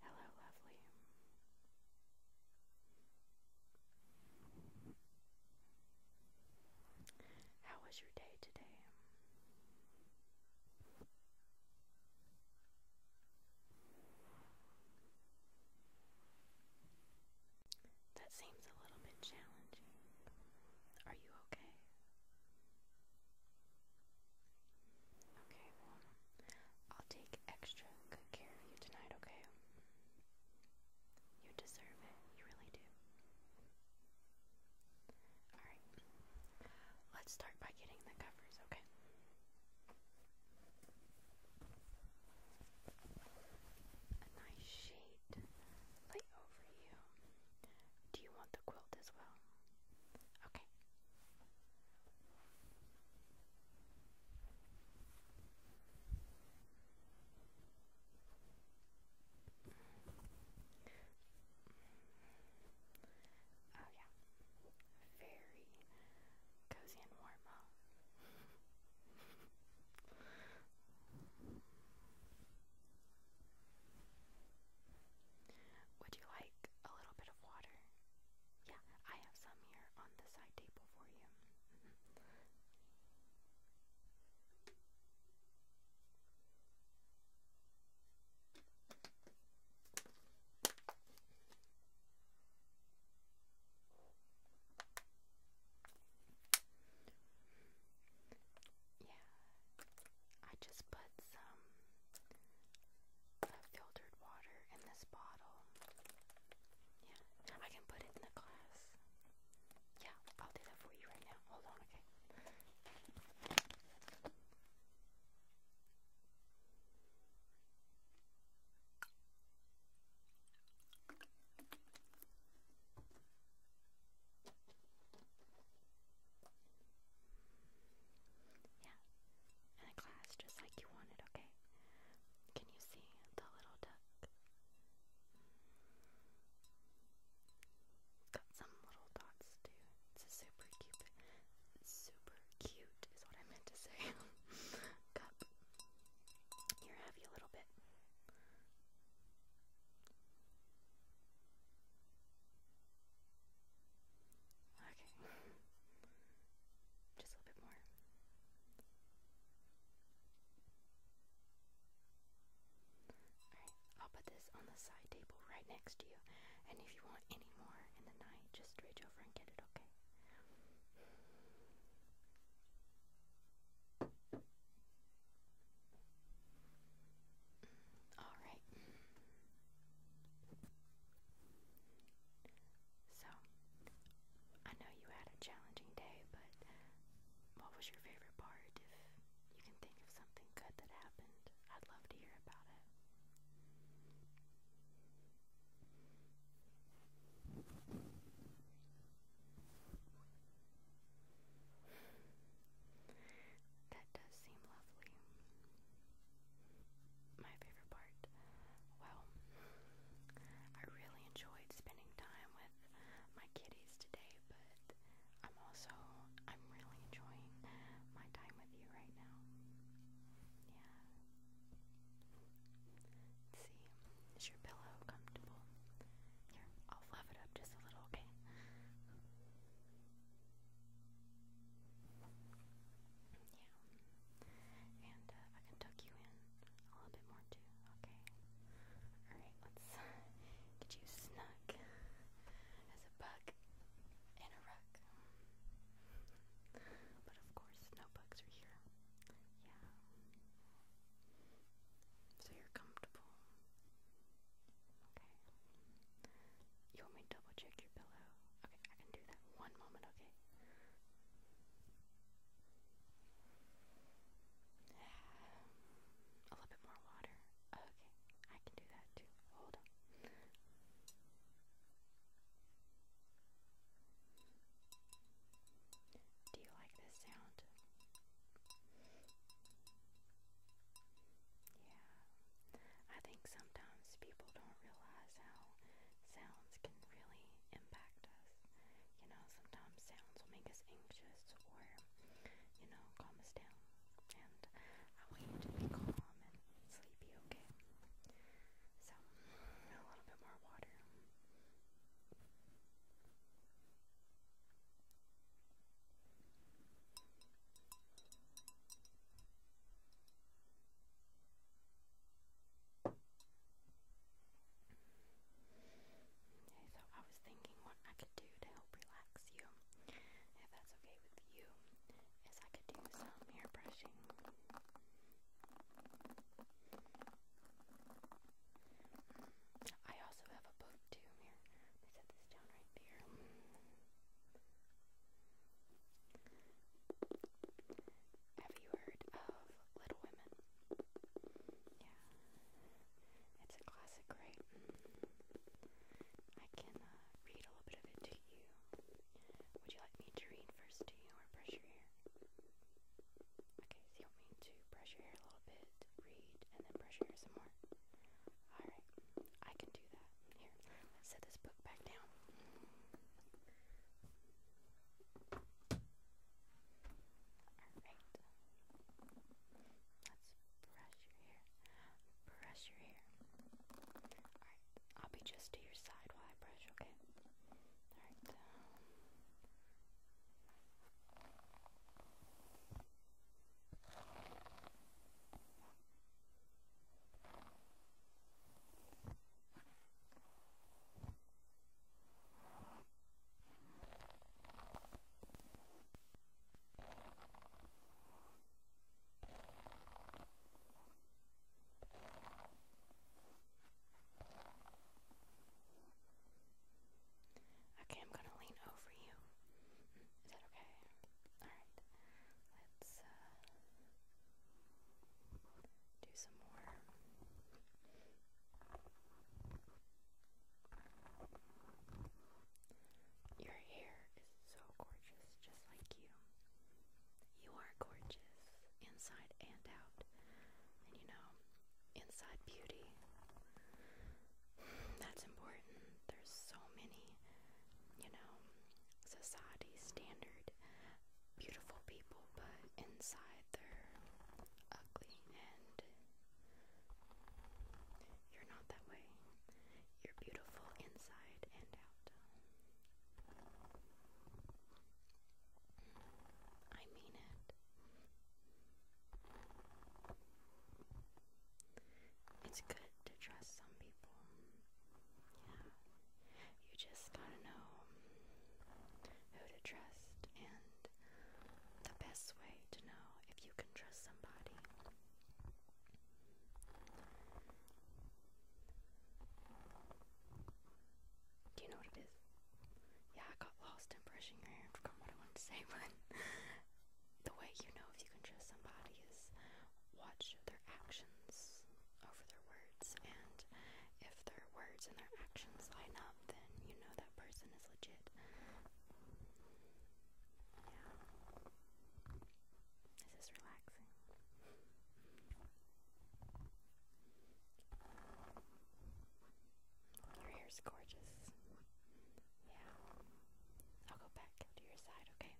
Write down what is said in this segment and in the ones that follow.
Hello, lovely. How was your day today? That seems a little bit challenging. Are you okay? Okay, well, I'll take extra good care of you tonight, okay? You deserve it. You really do. Alright. Let's start by getting the covers, okay? a nice shade light over you. Do you want the quilt as well? Okay. Oh yeah, very cozy and warm, huh? Would you like a little bit of water? Yeah, I have some here on the side table for you. Yeah, I just put some filtered water in this bottle. Yeah, I can put it in the glass. Yeah, I'll do that for you right now. Hold on, okay? Yeah, in a class just like you wanted, okay? Can you see the little duck? Mm. Got some little dots too. It's super cute, super cute is what I meant to say. Here, have you a little bit. Okay. Just a little bit more. Alright, I'll put this on the side table right next to you. And if you want any more in the night, just reach over and get it, okay? All right. So, I know you had a challenging day, but what was your favorite part? If you can think of something good that happened, I'd love to hear about it. That does seem lovely. My favorite part, well, I really enjoyed spending time with my kitties today, but I'm also, I'm really enjoying my time with you right now. Yeah. Let's see, is your pillow comfortable? Here, I'll fluff it up just a little, okay? Yeah, and uh, I can tuck you in a little bit more too, okay? Alright, let's get you snug as a bug in a rug. But of course, no are here. Yeah. So you're comfortable. Okay. You want me to double check your pillow? Okay, I can do that. One moment, okay? A little bit more water. Okay, I can do that too. Hold on. Do you like this sound? Yeah. I think sometimes people don't realize how sounds can really impact us. You know, sometimes sounds will make us anxious or, you know, calm us down. And I want you to be calm and sleepy, okay? So, a Okay, so I was thinking what I could do to help relax you, if that's okay with you is I could do some hair brushing. I also have a book too here. Let set this down right there. Have you heard of Little Women? Yeah. It's a classic, right? I can uh, read a little bit of it to you. Would you like me to read need first? Do you want to brush your hair? Okay, so you want me to brush your hair a little bit, read, and then brush your hair some more? Alright, I can do that. Here, let's set this book back down. Alright. Let's brush your hair. Brush your hair. Alright, I'll be just to your side while I brush, okay? Alright, Okay. Um, Okay, I'm gonna lean over you. Is that okay? Alright. Let's uh, do some more. Your hair is so gorgeous, just like you. You are gorgeous, inside and out. And you know, inside beauty. That's important. There's so many, you know, society standard beautiful people, but inside they're ugly and you're not that way. You're beautiful inside and I mean it. It's good to trust some people. Yeah. You just gotta know who to trust, and the best way to know if you can trust somebody do you know what it is? Yeah, I got lost in brushing your hair. I forgot what I wanted to say, but the way you know if you can trust somebody is watch their actions over their words, and if their words and their actions line up, then you know that person is legit. Yeah. This is relaxing relaxing. Your hair's gorgeous. Yeah. I'll go back to your side, okay?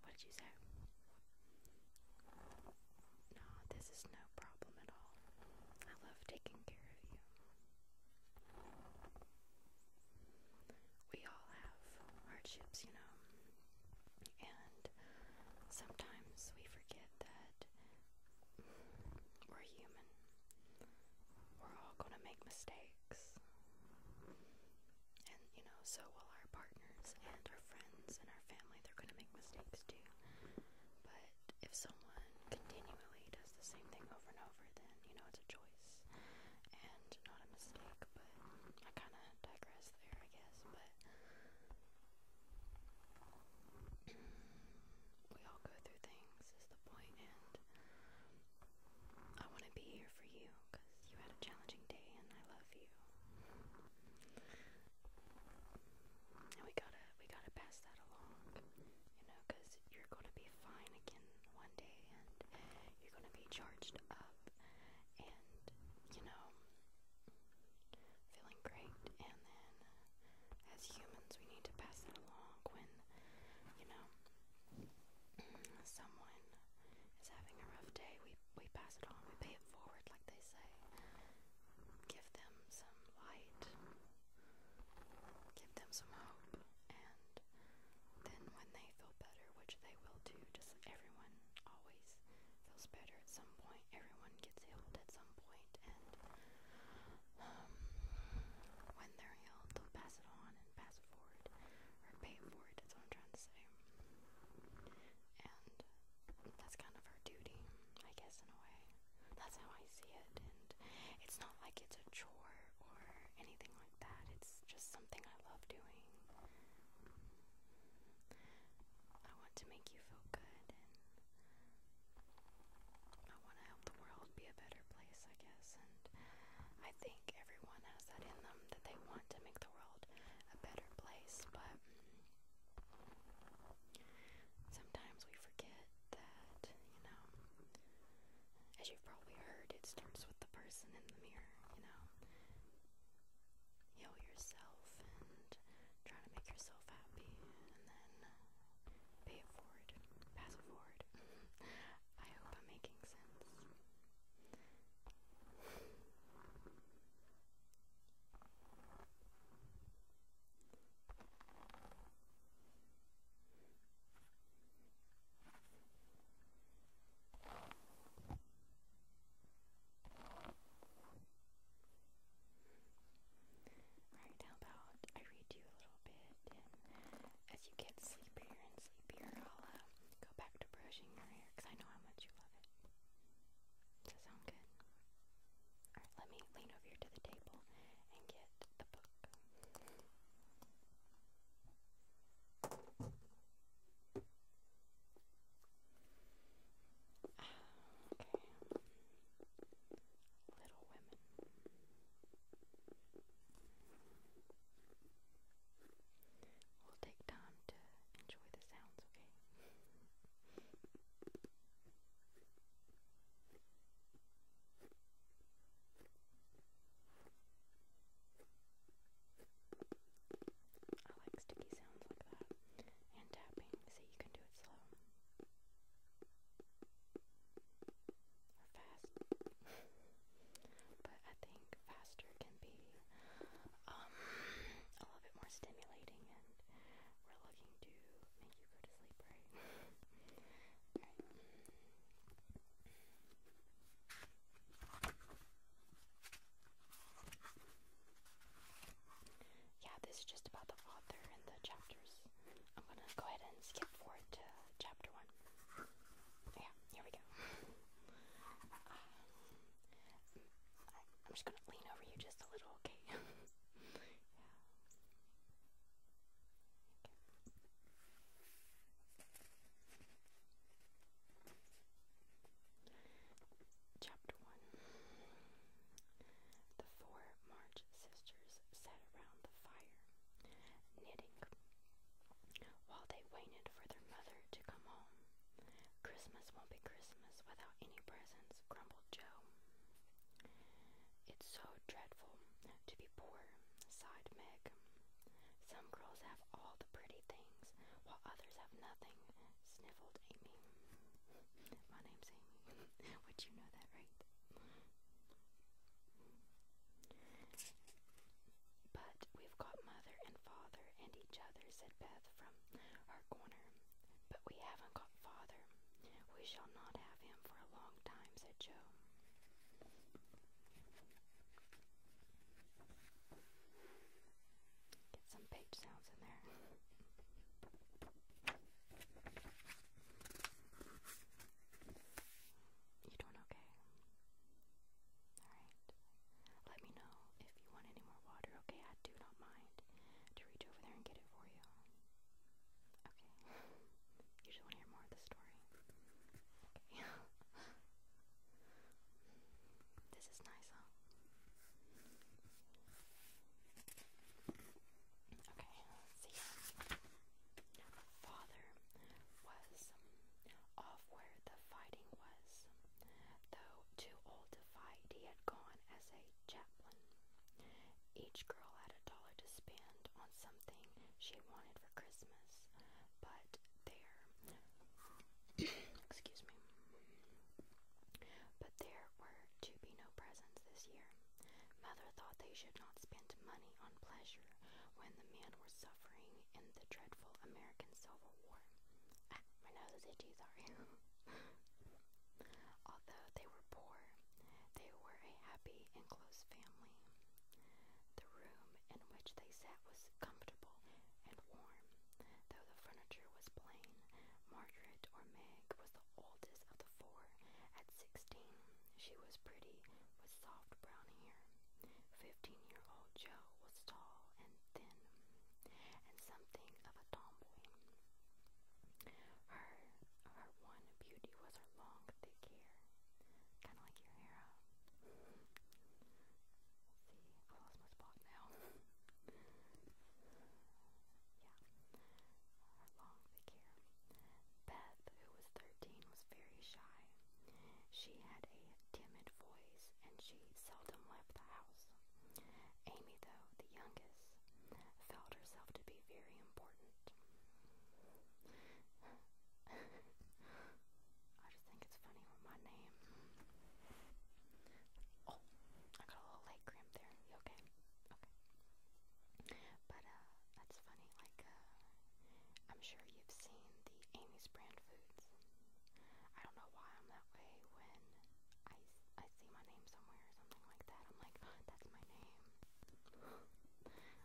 What did you say? No, this is no problem at all. I love taking care of you we all have hardships, you know, and sometimes we forget that we're human. We're all going to make mistakes. And, you know, so will our partners and our friends and our family. They're going to make mistakes too. But if someone continually does the same thing over and over, then, you know, it's a choice choice and not a mistake, but I kind of digress there, I guess. But we all go through things, is the point, and I want to be here for you because you had a challenging day, and I love you. And we gotta, we gotta pass that along, you know, because you're gonna be fine again one day, and you're gonna be charged up and, you know, feeling great. And then, uh, as humans, we need to pass that along when, you know, someone is having a rough day. We, we pass it on, we pay it forward, like they say. Give them some light, give them some hope, and then when they feel better, which they will do, just everyone always feels better at some point. Everyone gets healed at some point, and um, when they're healed, they'll pass it on and pass it forward, or pay it forward. That's what I'm trying to say. And that's kind of our duty, I guess, in a way. That's how I see it, and it's not like it's a chore or anything like that. It's just something I love doing. I want to make you feel good and I want to help the world be a better place, I guess. And I think everyone has that in them that they want to make the world a better place, but sometimes we forget that, you know, as you've probably heard, it starts with the person in the mirror, you know. Heal yourself and try to make yourself happy and then pay it forward, pass it forward. I hope I'm making sense. Alright, how about I read you a little bit, as you get sleepier and sleepier, I'll uh, go back to brushing your hair because I know how much you love it. Does that sound good? Alright, let me lean over to the table and get the book. Little Women. We'll take time to enjoy the sounds, okay? I like sticky sounds like that. And tapping, so you can do it slow. Or fast. but I think faster can be um, a little bit more stimulating and we're looking to make you go to sleep, right. Yeah, this is just about the author and the chapters. I'm gonna go ahead and skip forward to chapter one. Yeah, here we go. Um, I, am just gonna lean over you just a little, okay? Chapter 1 The four March sisters sat around the fire, knitting, while they waited for their mother to come home. Christmas won't be Christmas without any presents, grumbled Joe. It's so dreadful to be poor, sighed Meg. Some girls have all the pretty things, while others have nothing, sniffled Amy. My name's Amy. Would you know that, right? But we've got mother and father and each other, said Beth from her corner. But we haven't got father we shall not have him for a long time, said Joe. Get some page sounds in there. You doing okay? Alright. Let me know if you want any more water, okay? I do not mind to reach over there and get it for you. Okay. You just want to hear more of the story. Okay. this is nice, huh? Okay, let's see. Father was off where the fighting was. Though too old to fight, he had gone as a chaplain. Each girl had a dollar to spend on something she wanted for Christmas, but there, excuse me, but there were to be no presents this year. Mother thought they should not spend money on pleasure when the men were suffering in the dreadful American Civil War. Ah, my nose is itchy, sorry. Although they were poor, they were a happy and close family. The room in which they sat was comfortable and warm, though the furniture was plain. Margaret or Meg was the oldest of the four. At sixteen, she was pretty, with soft brown hair. Fifteen-year-old Joe was tall and thin, and something of a tomboy. Her, her one beauty was her long, thick hair, kind of like your hair see, I my spot now. yeah, her long, thick hair. Beth, who was 13, was very shy. She had a timid voice and she seldom left the house. Amy, though, the youngest, felt herself to be very important. I just think it's funny with my name. Oh, I got a little leg cramp there. You okay? Okay. But uh, that's funny. Like, uh, I'm sure you've seen the Amy's brand foods. I don't know why I'm that way when I, I see my name somewhere or something like that, I'm like, that's my name.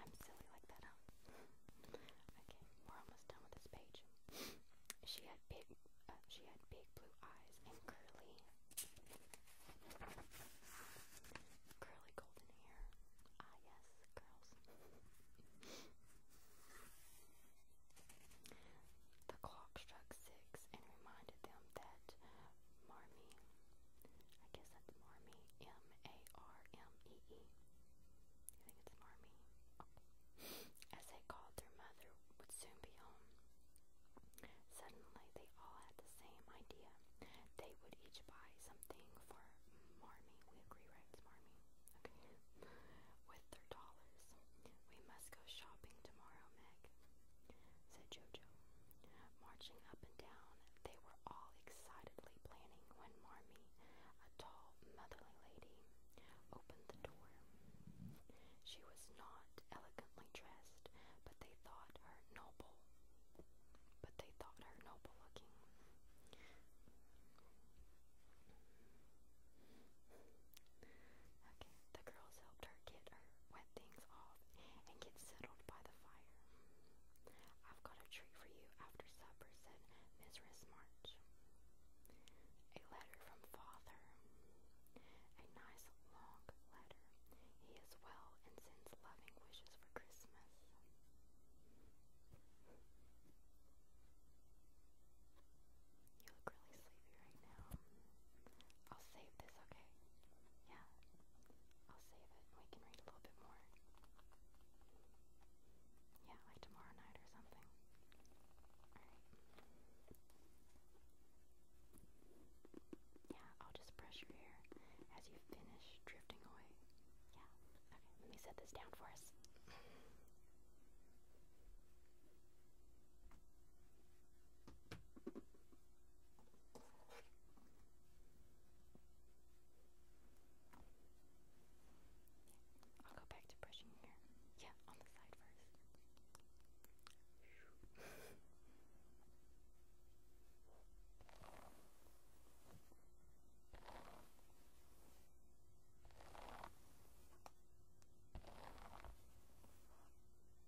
I'm silly like that, okay, we're almost done with this page. she had big, uh, she had big blue eyes and curly, curly golden hair. Ah, yes, girls. The clock struck six and reminded them that Marmee I guess that's Marmee. M-A-R-M-E-E. -E. You think it's Marmee? Oh. As they called, their mother would soon be home. Suddenly, they all had the same idea. They would each buy something for Marmee. We agree, right? It's Marmee. Okay. With their dollars. We must go shopping tomorrow, Meg said Jojo. Marching up and down, they were all excitedly planning when Marmee, a tall, motherly lady, opened the door. She was not elegantly dressed, but they thought her noble. But they thought her noble looking. Okay. The girls helped her get her wet things off and get settled by the fire. I've got a treat for you after supper, said Mrs. March. A letter from father. A nice long letter. He is well and sends loving wishes for Christmas. You look sleepy right now. I'll save this, okay? Yeah. I'll save it. We can read a little bit more. Yeah, like tomorrow night or something. Alright. Yeah, I'll just brush your hair as you finish drifting away. Yeah. Okay, let me set this down for us. I'll go back to brushing here. Yeah, on the side first.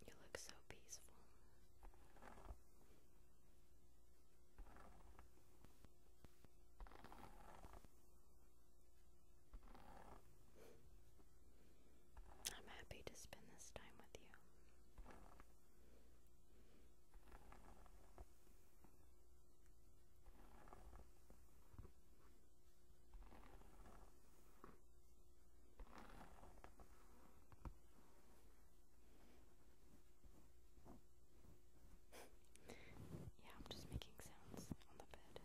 You look so peaceful. I'm happy to spend this time with you yeah, I'm just making sounds on the bed.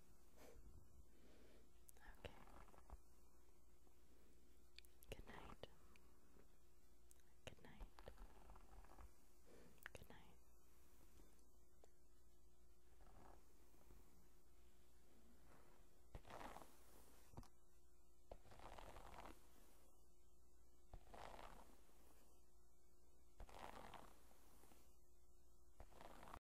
Okay. Good night. Good night. Good night.